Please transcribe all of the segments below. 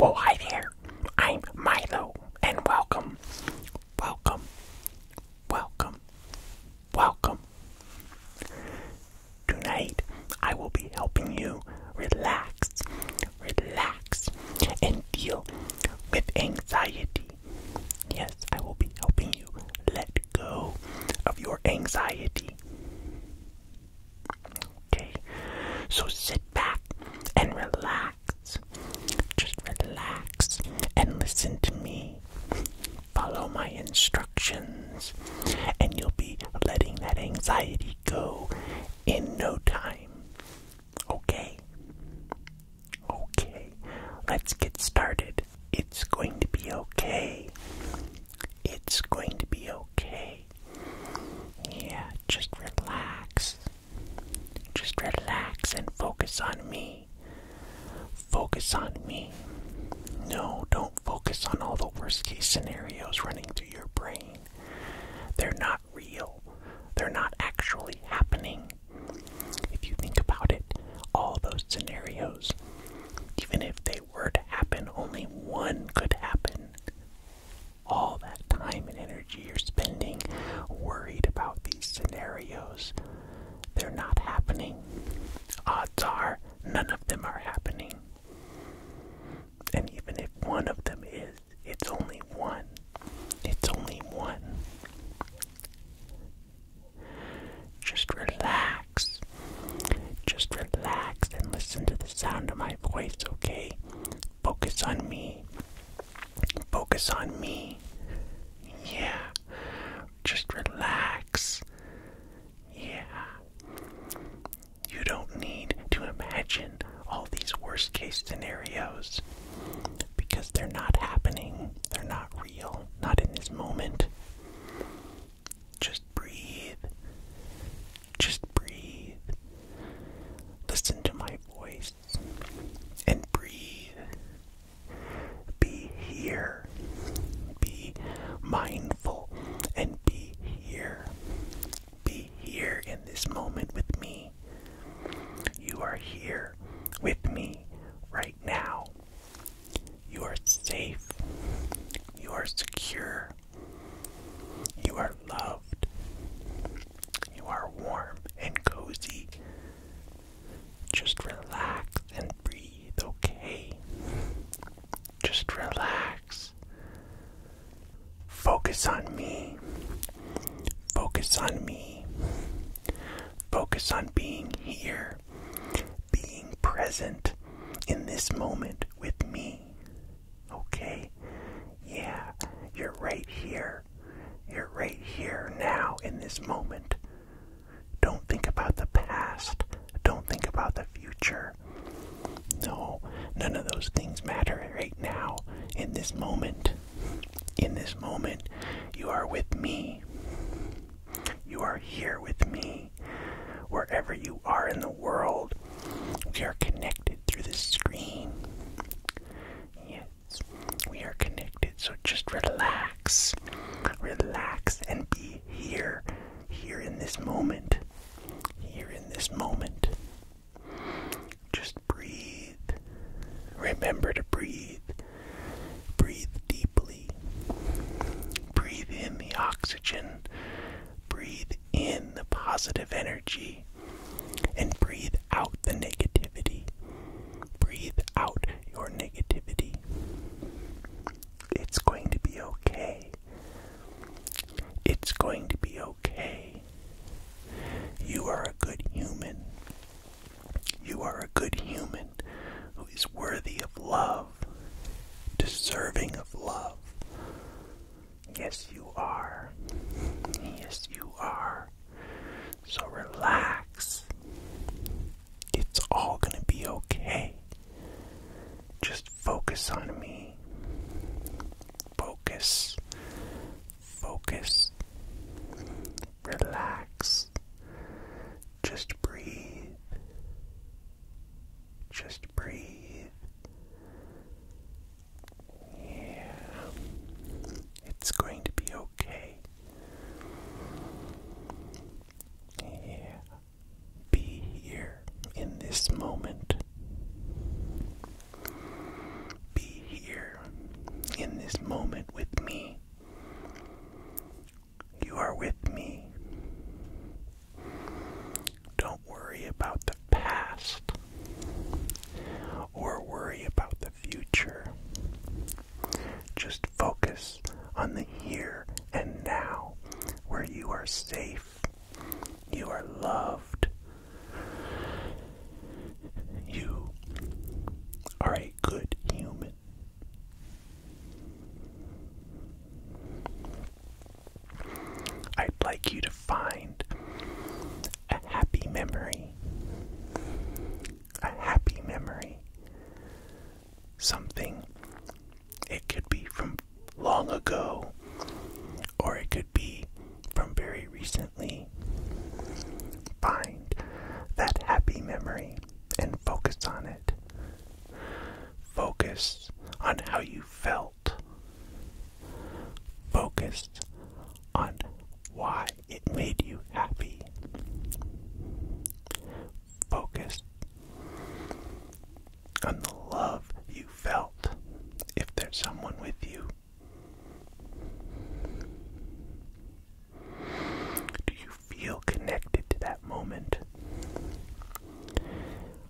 Well, hi there. I'm Milo, and welcome, welcome, welcome, welcome. Tonight, I will be helping you relax, relax, and deal with anxiety. Yes, I will be helping you let go of your anxiety. Okay, so sit back and relax. Just relax and listen to me. Follow my instructions, and you'll be letting that anxiety go in no time. Okay? Okay, let's get started. It's going to be okay. It's going to be okay. Yeah, just relax. Just relax and focus on me. Focus on me. No, don't focus on all the worst case scenarios running through your brain. They're not real, they're not actually happening. If you think about it, all those scenarios, even if they were to happen, only one could happen. All that time and energy you're spending worried about these scenarios, they're not happening. Odds are none of them are happening. And even if one of them is, it's only one. It's only one. Just relax. Just relax and listen to the sound of my voice, okay? Focus on me. Focus on me. Yeah. Just relax. Yeah. You don't need to imagine all these worst case scenarios because they're not happening. They're not real. Not in this moment. Just breathe. Just breathe. Listen to my voice and breathe. Be here. Be mindful and be here. Be here in this moment with me. You are here with me right now. You are safe. You are secure. You are loved. You are warm and cozy. Just relax and breathe, okay? Just relax. Focus on me. Focus on me. Focus on being here being present in this moment with me. Okay? Yeah, you're right here. You're right here now in this moment. Don't think about the past. Don't think about the future. No, none of those things matter right now in this moment. In this moment, you are with me. You are here with me. Wherever you are in the world, we are connected through this screen. Yes, we are connected, so just relax. Relax and be here, here in this moment, here in this moment. Just breathe. Remember to breathe. Breathe deeply. Breathe in the oxygen. Breathe in the positive energy. And breathe out the negativity. Breathe out your negativity. It's going to be okay. It's going to be okay. You are a good human. You are a good human who is worthy of love, deserving of love. Yes, you are. Yes, you are. So relax. It's all going to be okay. Just focus on me. Focus. Focus. Relax. Just, breathe. Just breathe. Yeah. It's going to be okay. Yeah. Be here in this moment. Be here in this moment with me. You are with me. Don't worry about the past or worry about the future. Just focus on the here and now, where you are safe, you are loved, you are a good human. I'd like you to find a happy memory. A happy memory. Something. It could be from long ago, or it could be from very recently. Find that happy memory and focus on it. Focus on how you felt. Focus on why it made you happy. Focus on the love you felt if there's someone with you do you feel connected to that moment?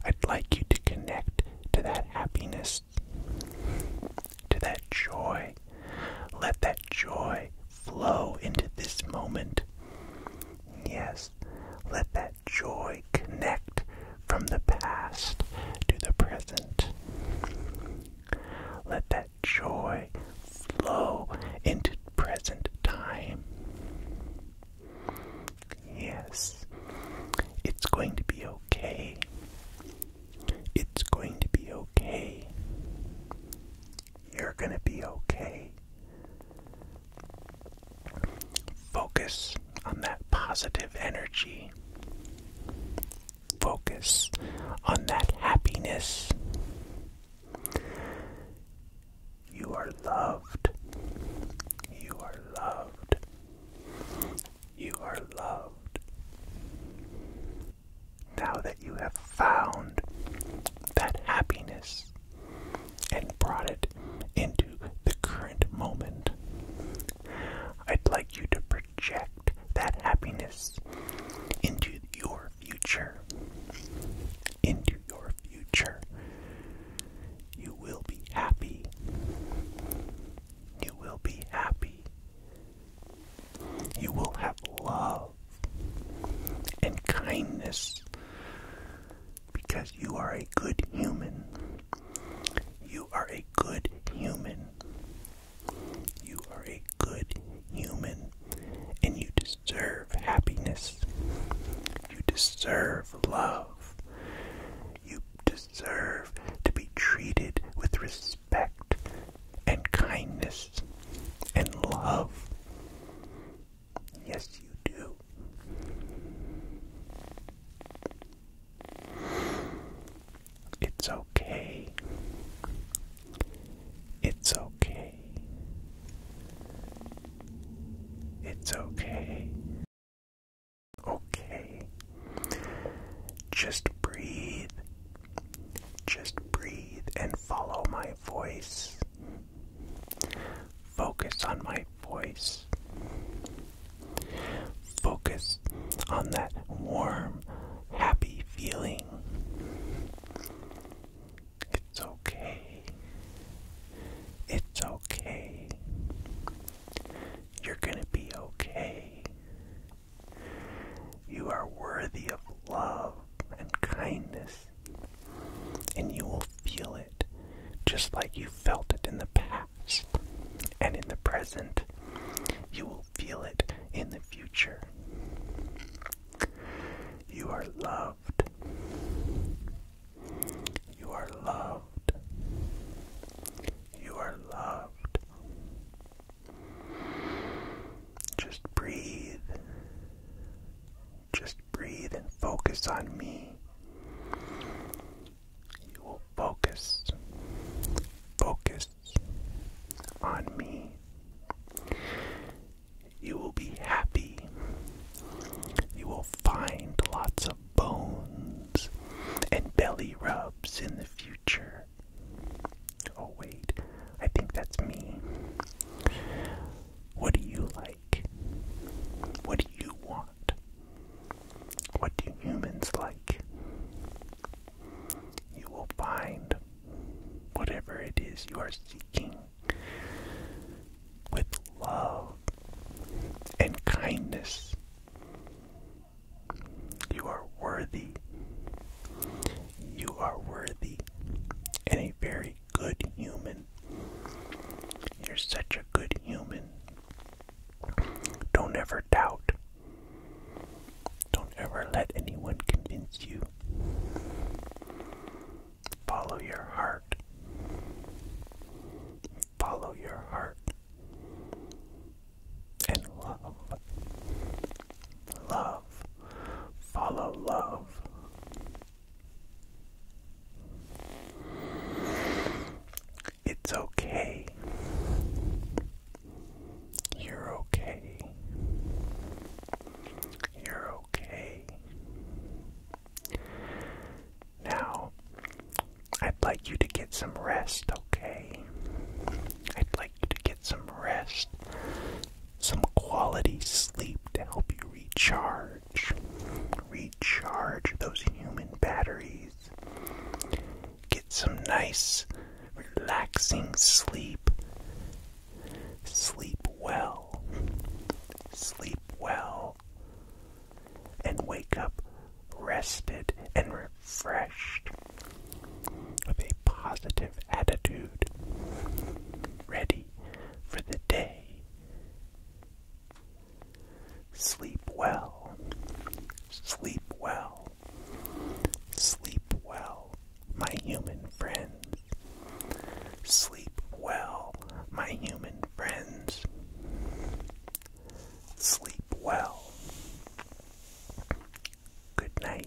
I'd like you to connect to that happiness, to that joy. Let that joy flow into this moment. Yes, let that joy connect from the past to the present. Let that joy flow into present time. Yes, it's going to be okay. It's going to be okay. You're going to be okay. Focus on that positive energy focus on that happiness. You are loved. You are loved. You are loved. Now that you have found that happiness and brought it into the current moment, I'd like you to project that happiness into your future. Into your future. You will be happy. You will be happy. You will have love and kindness because you are a good human. You are a good human. You are a good human. And you deserve happiness. You deserve love. You deserve to be treated with respect and kindness and love. Yes, you do. It's okay. It's okay. It's okay. Okay. Just breathe. Just breathe and follow my voice. Focus on my voice. Focus on that warm, happy feeling. It's okay. It's okay. You're gonna be okay. You are worthy of love and kindness, and you will feel it just like you felt it in the past and in the present. You will feel it in the future. You are loved. You are loved. You are loved. Just breathe. Just breathe and focus on me. You will focus, focus on me. You will be happy. You will find lots of bones and belly rubs in the future. Oh, wait, I think that's me. What do you like? What do you want? What do humans like? You will find whatever it is you are seeking with love and kindness. You are worthy. You are worthy in very good human. You're such a good human. Don't ever doubt. Don't ever let anyone convince you. Follow your heart. Follow your heart. And love. Love. Follow love. It's okay. You're okay. You're okay. Now, I'd like you to get some rest, okay? I'd like you to get some rest, some quality sleep to help you recharge recharge, those human batteries, get some nice, relaxing sleep, sleep well, sleep well, and wake up rested and refreshed with a positive attitude, ready for the day. Sleep well. Sleep well. Sleep well, my human friends. Sleep well, my human friends. Sleep well. Good night.